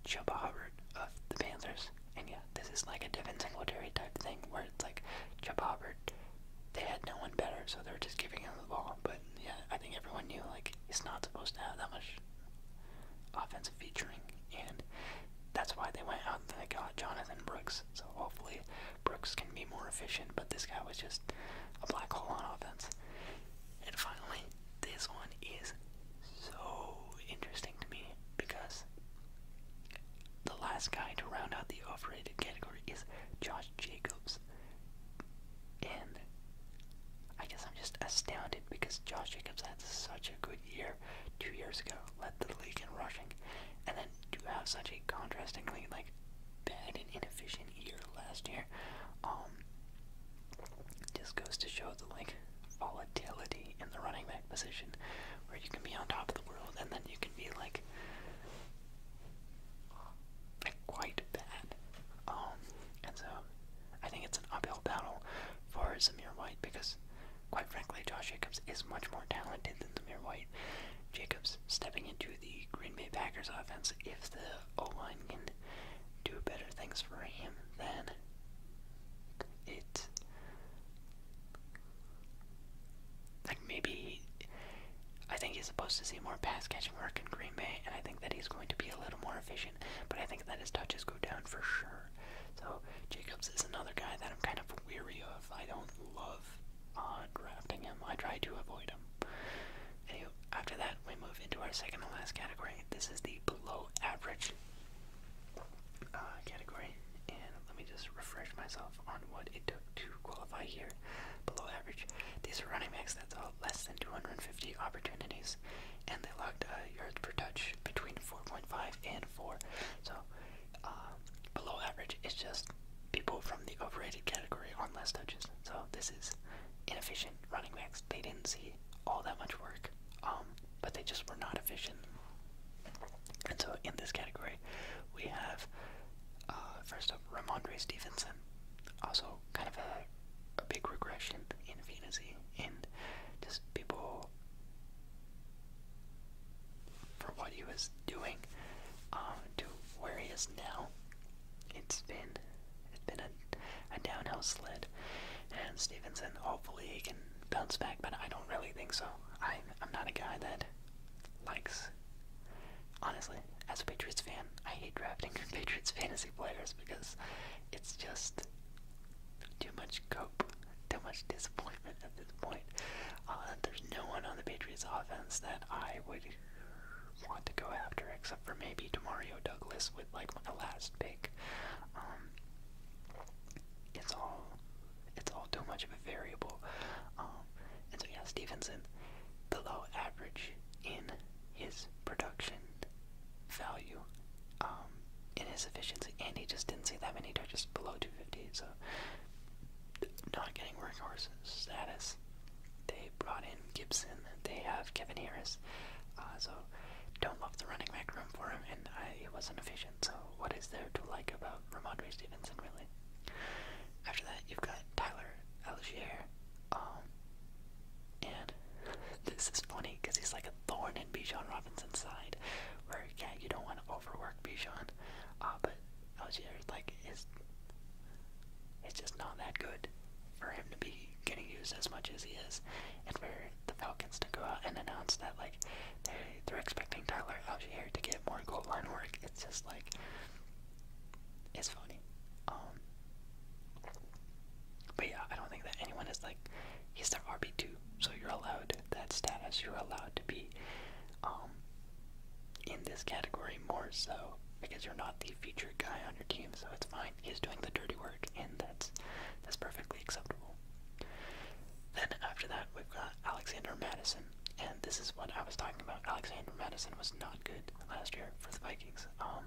Chuba Hubbard of the Panthers. And yeah, this is like a defensive Singletary type thing where it's like Chuba Hubbard, they had no one better, so they were just giving him the ball. But yeah, I think everyone knew like he's not supposed to have that much offensive featuring. And that's why they went out and they got Jonathan Brooks. So hopefully Brooks can be more efficient, but this guy was just a black hole on offense. And finally, this one is so interesting to me because the last guy to round out the overrated category is Josh Jacobs. And I guess I'm just astounded because Josh Jacobs had such a good year two years ago, led the league in rushing, and then to have such a contrastingly like bad and inefficient year last year, um, just goes to show the like volatility in the running back position, where you can be on top of the world and then you can be like, quite bad. Um, and so I think it's an uphill battle for Zamir White because, quite frankly, Josh Jacobs is much more talented than Zamir White. Jacobs stepping into the Green Bay Packers offense if the O line can do better things for him than it. maybe I think he's supposed to see more pass catching work in Green Bay, and I think that he's going to be a little more efficient. But I think that his touches go down for sure. So Jacobs is another guy that I'm kind of weary of. I don't love uh, drafting him. I try to avoid him after that, we move into our second and last category. This is the below average uh, category. And let me just refresh myself on what it took to qualify here. Below average. These are running backs that saw less than 250 opportunities, and they logged uh, yards per touch between 4.5 and 4. So, uh, below average is just people from the overrated category on less touches. So, this is inefficient running backs. They didn't see all that much work, um, but they just were not efficient. And so in this category, we have uh, first up Ramondre Stevenson, also kind of a, a big regression in fantasy, and just people for what he was doing um, to where he is now. It's been it's been a, a downhill slide, and Stevenson hopefully he can bounce back, but I don't really think so. I'm I'm not a guy that likes. Honestly, as a Patriots fan, I hate drafting Patriots fantasy players because it's just too much cope, too much disappointment at this point. Uh, there's no one on the Patriots offense that I would want to go after, except for maybe Demario Douglas with like my last pick. Um, it's all it's all too much of a variable. Um, and so yeah, Stevenson below average in his production value, um, in his efficiency, and he just didn't see that many touches below 250, so not getting workhorse status they brought in Gibson. They have Kevin Harris. Uh, so don't love the running back room for him, and I, it wasn't efficient. So what is there to like about Ramondre Stevenson, really? After that, you've got Tyler Algier. Um, and this is funny because he's like a thorn in Bijan Robinson's side, where yeah, you don't want to overwork Bijan, uh, but Algier like is it's just not that good for him to be getting used as much as he is, and for the Falcons to go out and announce that like they they're expecting Tyler Algier to get more goal line work. It's just like it's funny. Um, but yeah, I don't think that anyone is like he's their RB two, so you're allowed that status. You're allowed to be um in this category more so because you're not the feature guy on your team, so it's fine. He's doing the dirty work, and that's that's perfectly acceptable. Then after that, we've got Alexander Madison, and this is what I was talking about. Alexander Madison was not good last year for the Vikings. Um,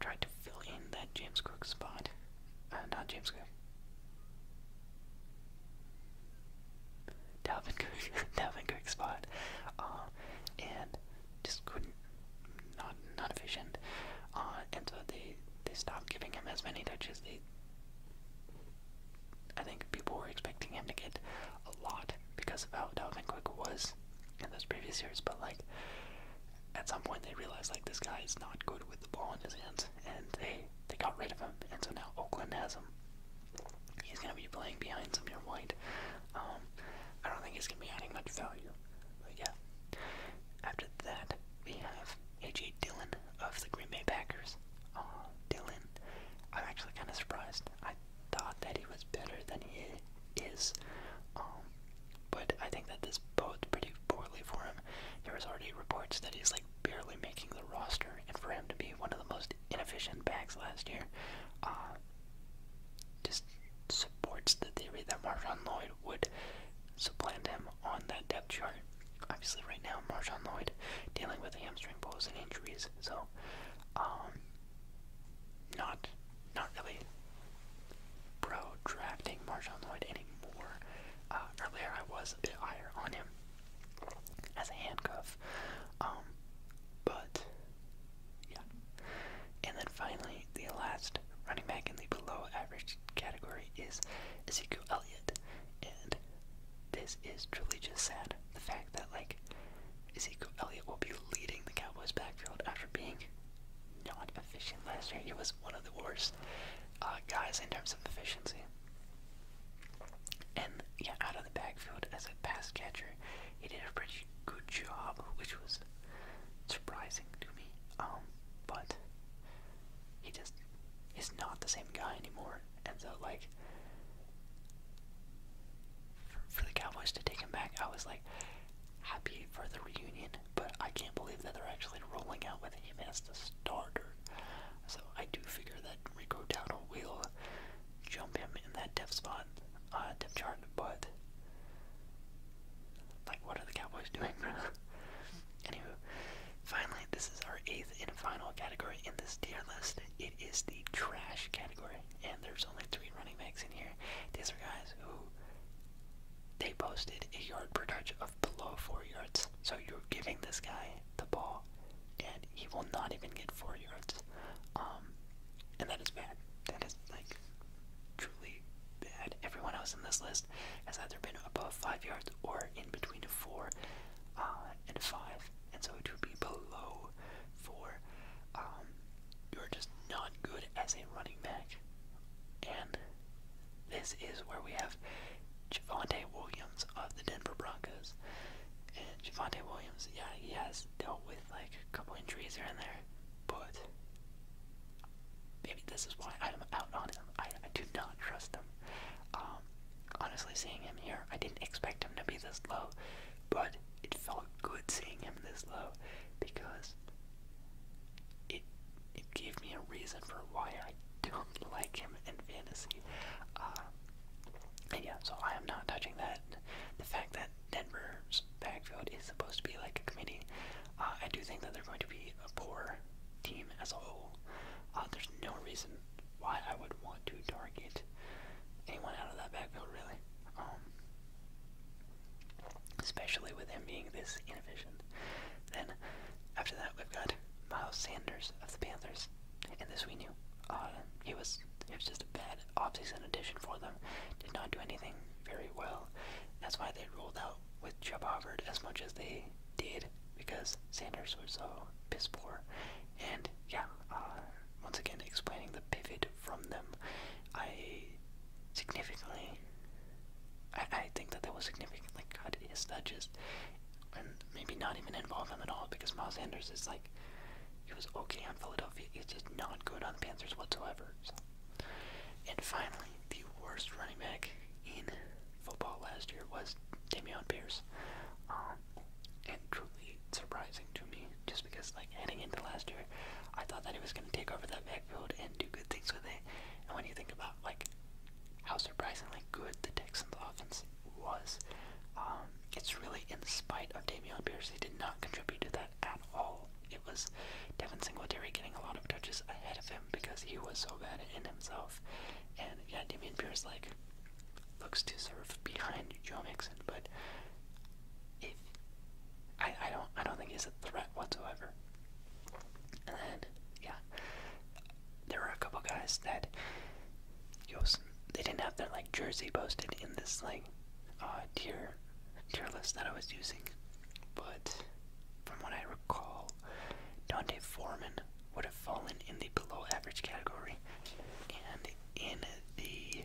tried to fill in that James Cook spot, uh, not James Cook. Dalvin Cook, Dalvin Cook spot, um, and just couldn't, not not efficient. Uh, and so they they stopped giving him as many touches. They, I think people were expecting him to get a lot because of how Dalvin Cook was in those previous years, but like at some point they realized like this guy is not good with the ball in his hands, and they they got rid of him, and so now Oakland has him. He's gonna be playing behind Samir White. Um, I don't think he's gonna be adding much value. But yeah. After that, we have A.J. Dillon of the Green Bay Packers. Dillon. I'm actually kind of surprised. I thought that he was better than he is. Um, but I think that this bodes pretty poorly for him. There was already reports that he's like barely making the roster, and for him to be one of the most inefficient backs last year, uh, just supports the theory that Marshawn Lloyd would supplant him on that depth chart. Obviously, right now Marshawn Lloyd dealing with hamstring pulls and injuries, so um, not not really pro drafting Marshawn Lloyd anymore. Uh, earlier, I was a bit higher on him as a handcuff, um, but yeah. And then finally, the last running back in the below average category is Ezekiel Elliott. And this is truly just sad. The fact that, like, Ezekiel Elliott will be leading the Cowboys backfield after being not efficient last year. He was one of the worst uh, guys in terms of efficiency. And yeah, out of the backfield as a pass catcher, he did a pretty good job, which was surprising to me. Um, but he just is not the same guy anymore, and so like for, the Cowboys to take him back, I was like happy for the reunion, but I can't believe that they're actually rolling out with him as the starter. So I do figure that Rico Dowdle will jump him in that depth spot, uh, depth chart, but like, what are the Cowboys doing, Anywho, finally, this is our eighth and final category in this tier list. It is the trash category, and there's only three running backs in here. These are guys who they posted a yard per touch of below four yards. So you're giving this guy the ball, and he will not even get four yards. Um, and that is bad. That is like truly bad. Everyone else in this list has either been above five yards or in between a four uh, and a five, and so it would be below four. Um, you're just not good as a running back, and this is where we have Javante Williams of the Denver Broncos. And Javante Williams, yeah, he has dealt with like a couple injuries here and there, but maybe this is why I'm out on him. I, do not trust him. Um, honestly, seeing him here, I didn't expect him to be this low, but it felt good seeing him this low because it it gave me a reason for why I don't like him in fantasy. Uh, yeah, so I am not touching that. The fact that Denver's backfield is supposed to be like a committee. Uh, I do think that they're going to be a poor team as a whole. Uh, there's no reason why I would want to target anyone out of that backfield, really. Um, especially with him being this inefficient. Then, after that, we've got Miles Sanders of the Panthers, and this we knew. Uh, he was it was just a bad offseason addition for them. Did not do anything very well. That's why they rolled out with Chubb Hubbard as much as they did because Sanders was so piss poor. And yeah, uh, once again explaining the pivot from them, I significantly, I, I think that that was significant. Like God, is that just, and maybe not even involve him at all because Miles Sanders is like, he was okay on Philadelphia. He's just not good on the Panthers whatsoever. So. And finally, the worst running back in football last year was Damian Pierce. Um, and truly surprising to me, just because like heading into last year, I thought that he was gonna take over that backfield and do good things with it. And when you think about like how surprisingly good the Texans offense was, um, it's really in spite of Damian Pierce, he did not contribute to that at all. It was Devin Singletary getting a lot of touches ahead of him because he was so bad in himself. And yeah, Damian Pierce like looks to serve behind Joe Mixon, but if I, I don't I don't think he's a threat whatsoever. And then yeah, there were a couple guys that you they didn't have their like jersey posted in this like uh, tier tier list that I was using, but from what I recall, Dante Foreman would have fallen in the below average category. And in the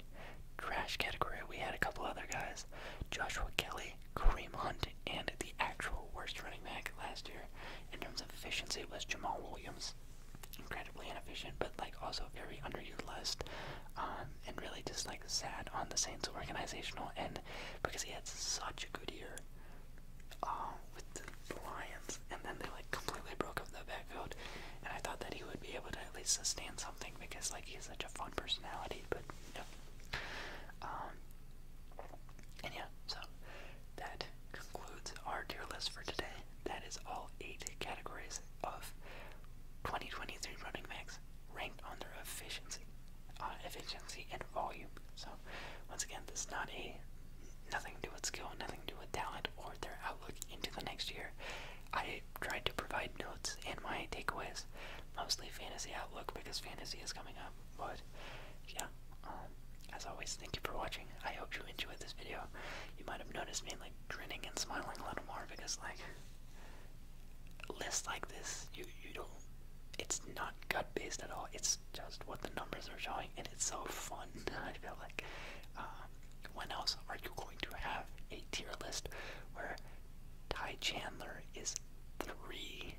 trash category, we had a couple other guys Joshua Kelly, Kareem Hunt, and the actual worst running back last year in terms of efficiency was Jamal Williams. Incredibly inefficient, but like also very underutilized. Um, and really just like sad on the Saints organizational end because he had such a good year uh, with the Lions, and then they like completely broke up the backfield. And I thought that he would be able to at least sustain something because like he's such a fun personality. But no. Um, and yeah, so that concludes our tier list for today. That is all eight categories of 2023 running backs ranked on their efficiency. Uh, efficiency, and volume. So, once again, this is not a nothing to do with skill, nothing to do with talent or their outlook into the next year. I tried to provide notes and my takeaways, mostly fantasy outlook because fantasy is coming up. But yeah, um, as always, thank you for watching. I hope you enjoyed this video. You might have noticed me like grinning and smiling a little more because like lists like this, you you don't. It's not gut based at all. It's just what the numbers are showing, and it's so fun. I feel like um, when else are you going to have a tier list where Ty Chandler is three,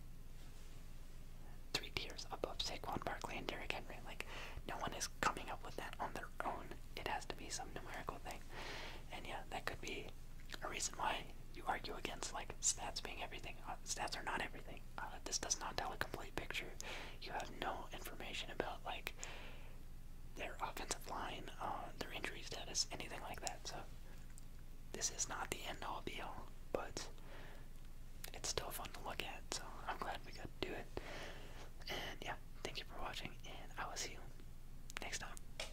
three tiers above Saquon Barkley and Derek Henry? Like no one is coming up with that on their own. It has to be some numerical thing. And yeah, that could be a reason why you argue against like stats being everything. Uh, stats are not everything. Uh, this does not tell a complete picture. You have no information about like their offensive line, uh, their injury status, anything like that. So this is not the end all be all, but it's still fun to look at. So I'm glad we got to do it. And yeah, thank you for watching, and I will see you next time.